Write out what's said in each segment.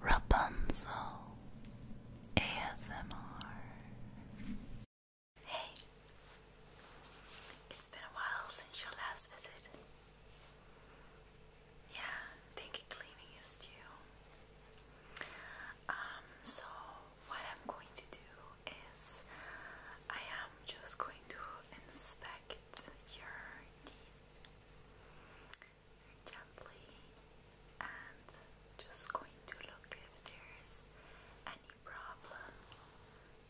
Rapunzel ASMR. Hey, it's been a while since your last visit. Yeah, think cleaning is due. Um, so what I'm going to do is I am just going to inspect your teeth gently and just going to look if there's any problems.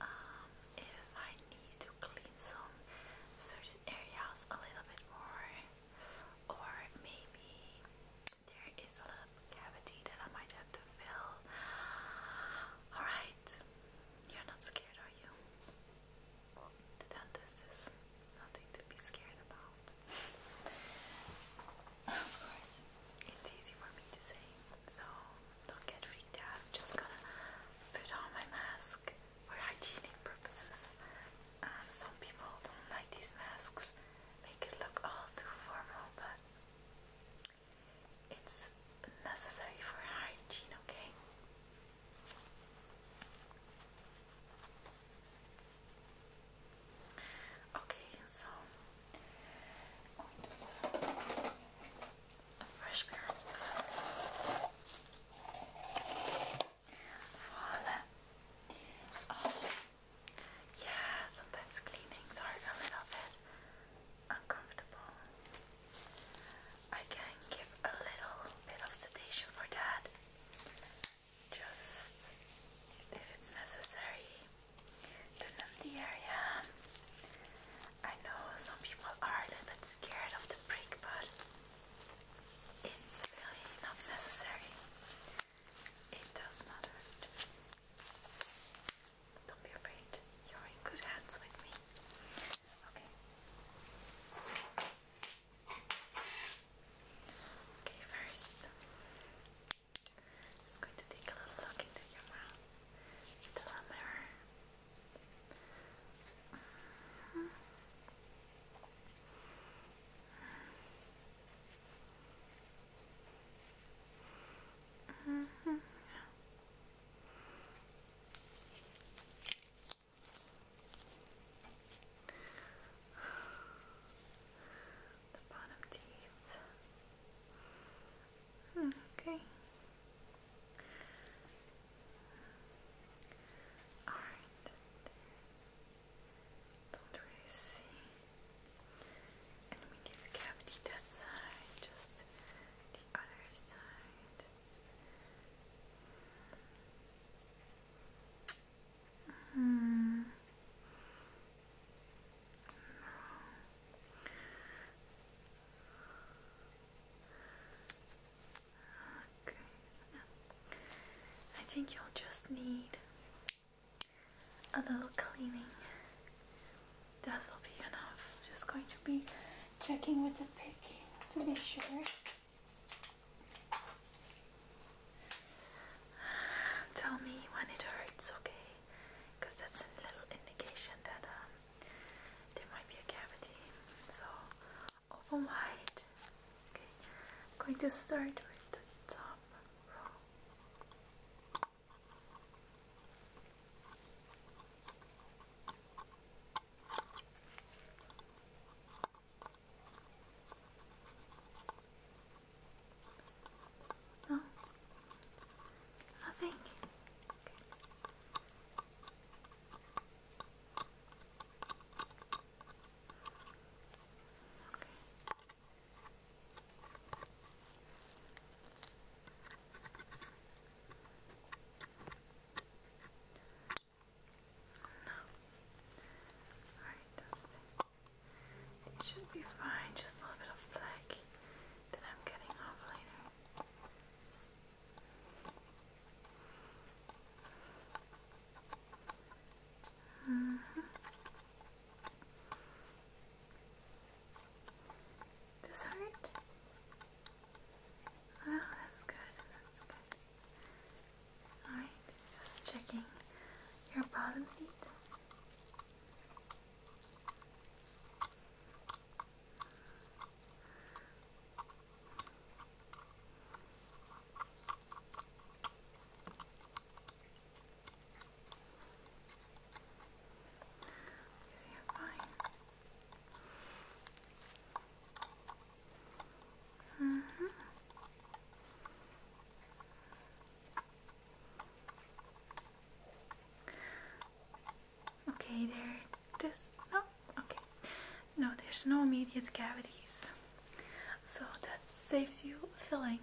Um, if I need to clean some certain areas a little bit more, or maybe there is a little cavity that I might have to fill. Alright, you're not scared, are you? The dentist is nothing to be scared about. of course, it's easy for me to say, so don't get freaked out. just gonna put on my mask for hygienic purposes. Um, some people don't like these masks, make it look all too formal, but it's necessary for hygiene, okay? Okay, so fresh pair of oh, yeah, sometimes cleanings are a little bit uncomfortable. I can give a little bit of sedation for that just if it's necessary to numb the area. I know some people are a little bit scared of the prick, but it's really not necessary. It does not hurt. Don't be afraid. You're in good hands with me. Okay. Okay, first, I'm just going to take a little look into your mouth into the -hmm. -hmm. -hmm. The bottom teeth. okay. Alright. Don't really see. And we get the cavity that side, just the other side. Mm. Okay. I think you'll just need a little cleaning. That will be enough. Just going to be checking with the pick to be sure. Tell me when it hurts, okay? Because that's a little indication that um, there might be a cavity. So, open wide. Okay, I'm going to start with the top row. No? Nothing? No. Alright, It should be fine, just a little bit of black that I'm getting off later. Mm -hmm. This hurt? Oh, that's good, that's good. Alright, just checking your bottom feet. see, I'm fine. Uh-huh. Okay, there. Just no. Okay, no, there's no immediate cavities, so that saves you filling.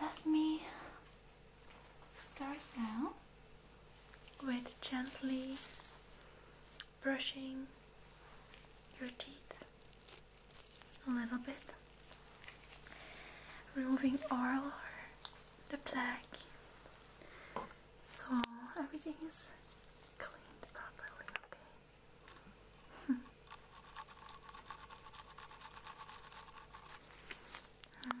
Let me start now with gently brushing your teeth a little bit, removing all the plaque so everything is cleaned properly, okay? Hmm.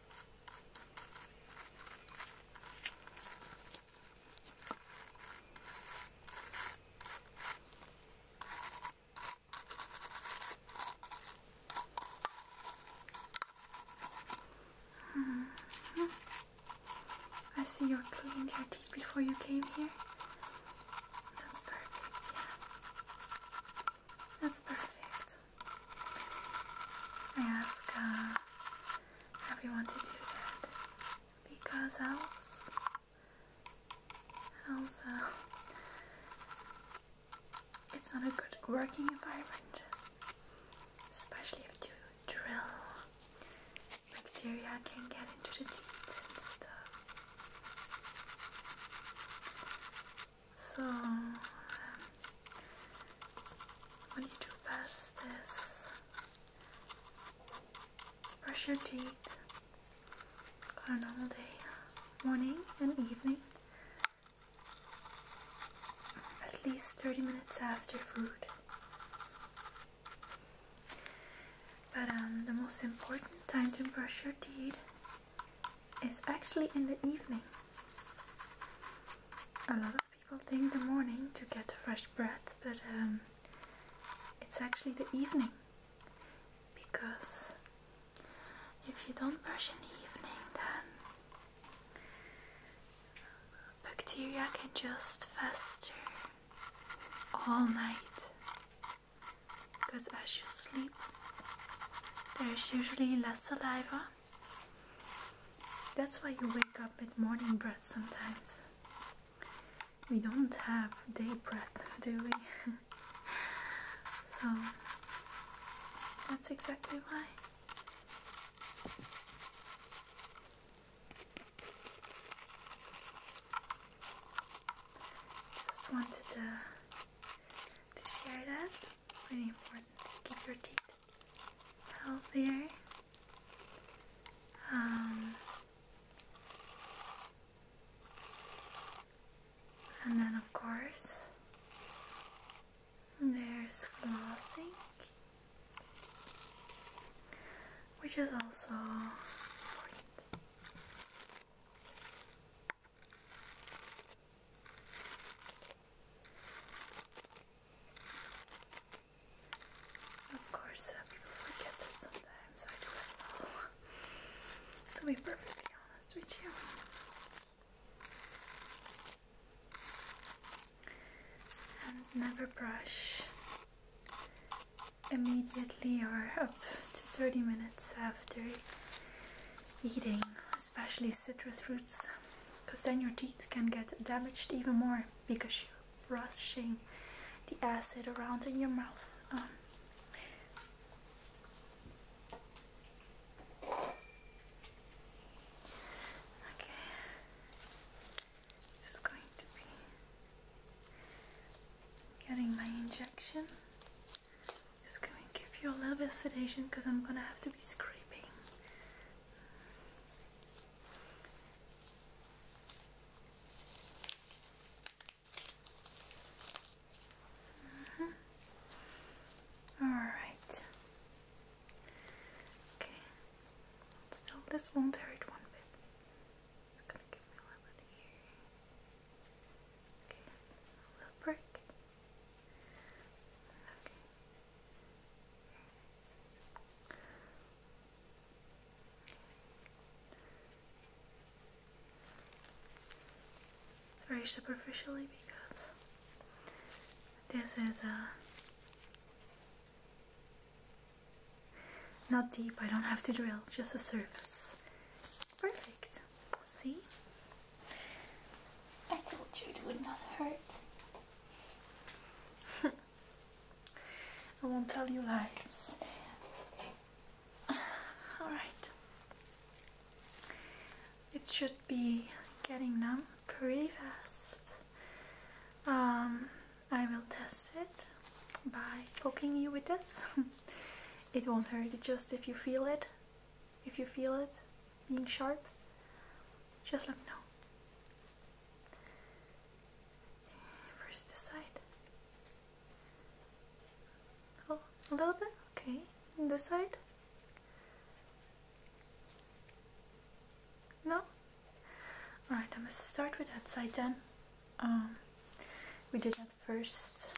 -hmm. I see you cleaned your teeth before you came here. That's perfect, yeah. That's perfect. I ask uh, everyone to do that because else, else, uh, it's not a good working environment, especially if you drill. Bacteria can get into the teeth and stuff. So, um, what you do best is brush your teeth on a normal day, morning and evening, at least 30 minutes after food. But um, the most important time to brush your teeth is actually in the evening. A lot people think the morning to get fresh breath, but um, it's actually the evening because if you don't brush in the evening, then bacteria can just fester all night because as you sleep, there's usually less saliva. That's why you wake up with morning breath sometimes. We don't have day breath, do we? so that's exactly why. Just wanted to share that. Really important to keep your teeth healthier. Um, and then, of course, there's flossing, which is also of course, uh, people forget that sometimes I do as well. to be perfectly honest with you. And never brush immediately or up to 30 minutes after eating, especially citrus fruits because then your teeth can get damaged even more because you're rushing the acid around in your mouth. Um, okay, just going to be getting my injection. Just going to give you a little sedation because I'm gonna have to be scraping Mm -hmm. All right. Okay. Still, this won't hurt one bit. It's gonna give me a little bit Okay. Very superficially because this is a uh, not deep, I don't have to drill, just a surface. Perfect. See? I told you it would not hurt. I won't tell you lies. Alright. It should be getting numb pretty fast. Um, I will test it by poking you with this. it won't hurt, just if you feel it. If you feel it, being sharp. Just like no. First this side. Oh, a little bit? Okay. this side? No? Alright, I'm gonna start with that side then. Um, we did that first.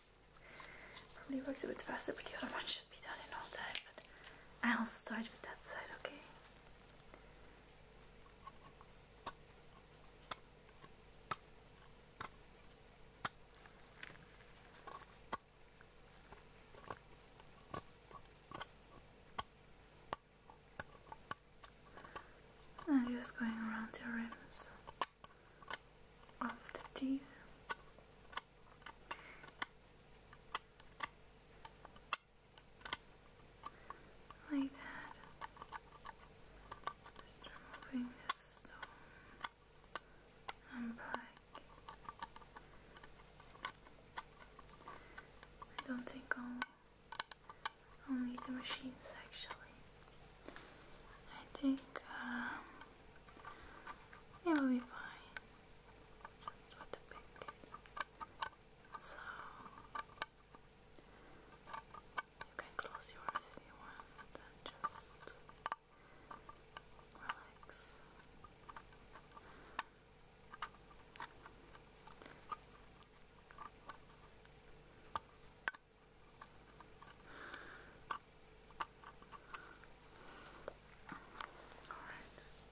Probably works a bit faster, but the other one should be done in all time. But I'll start with that side, okay? I'm just going around the rims of the teeth. Like that. Just removing this stone and black. I don't think I'll, I'll need the machines actually. I think it um, will be fine. Just with the big so you can close your eyes if you want just relax. All right.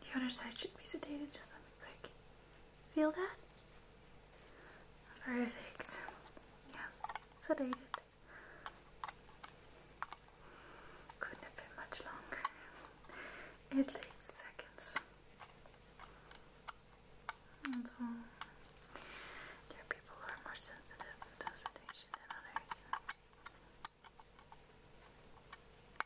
The other side should be sedated, just let me break it. Feel that? Perfect. Yes, sedated. Couldn't have much longer. It takes seconds. And people who are more sensitive to sedation than others.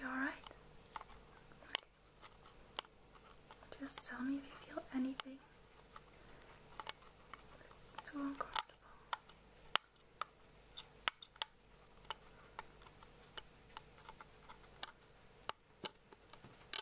You alright? Okay. Just tell me if you feel anything. It's too uncomfortable.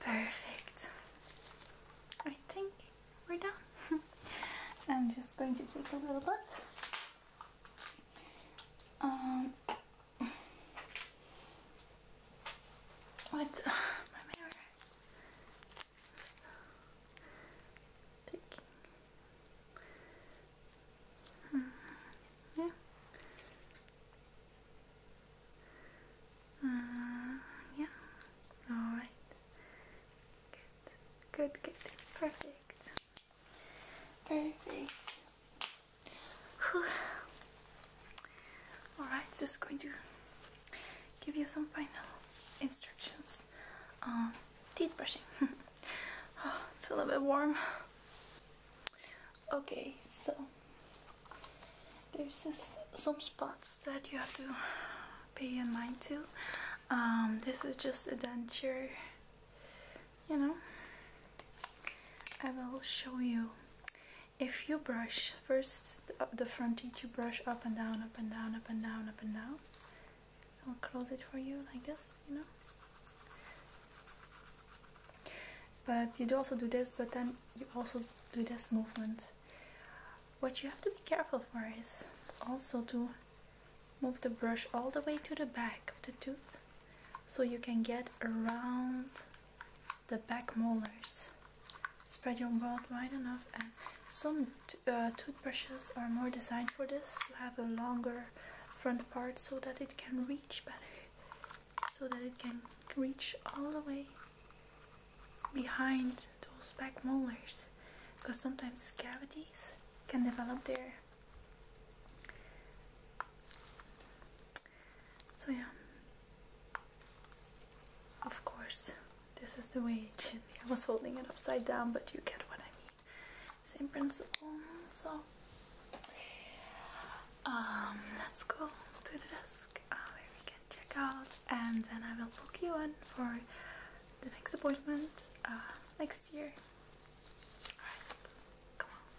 Perfect. I think we're done. I'm just going to take a little look. Um, what? So, thinking. Mm, yeah. Uh, yeah. All right. Good. Good. Good. Perfect. Perfect. Whew. All right. Just going to give you some final instructions. Um, teeth brushing. Oh, it's a little bit warm. Okay, so there's some spots that you have to pay in mind to. Um, this is just a denture, you know. I will show you. If you brush first the front teeth, you brush up and down, up and down, up and down, up and down. I'll close it for you like this, you know. But you do also do this, but then you also do this movement. What you have to be careful for is also to move the brush all the way to the back of the tooth so you can get around the back molars. Spread your mouth wide enough some uh, toothbrushes are more designed for this to have a longer front part so that it can reach better so that it can reach all the way behind those back molars because sometimes cavities can develop there so yeah of course this is the way it should be. I was holding it upside down, but you get what I mean. Same principle. So, um, let's go to the desk where ah, we can check out, and then I will book you in for the next appointment uh, next year. Alright, come on.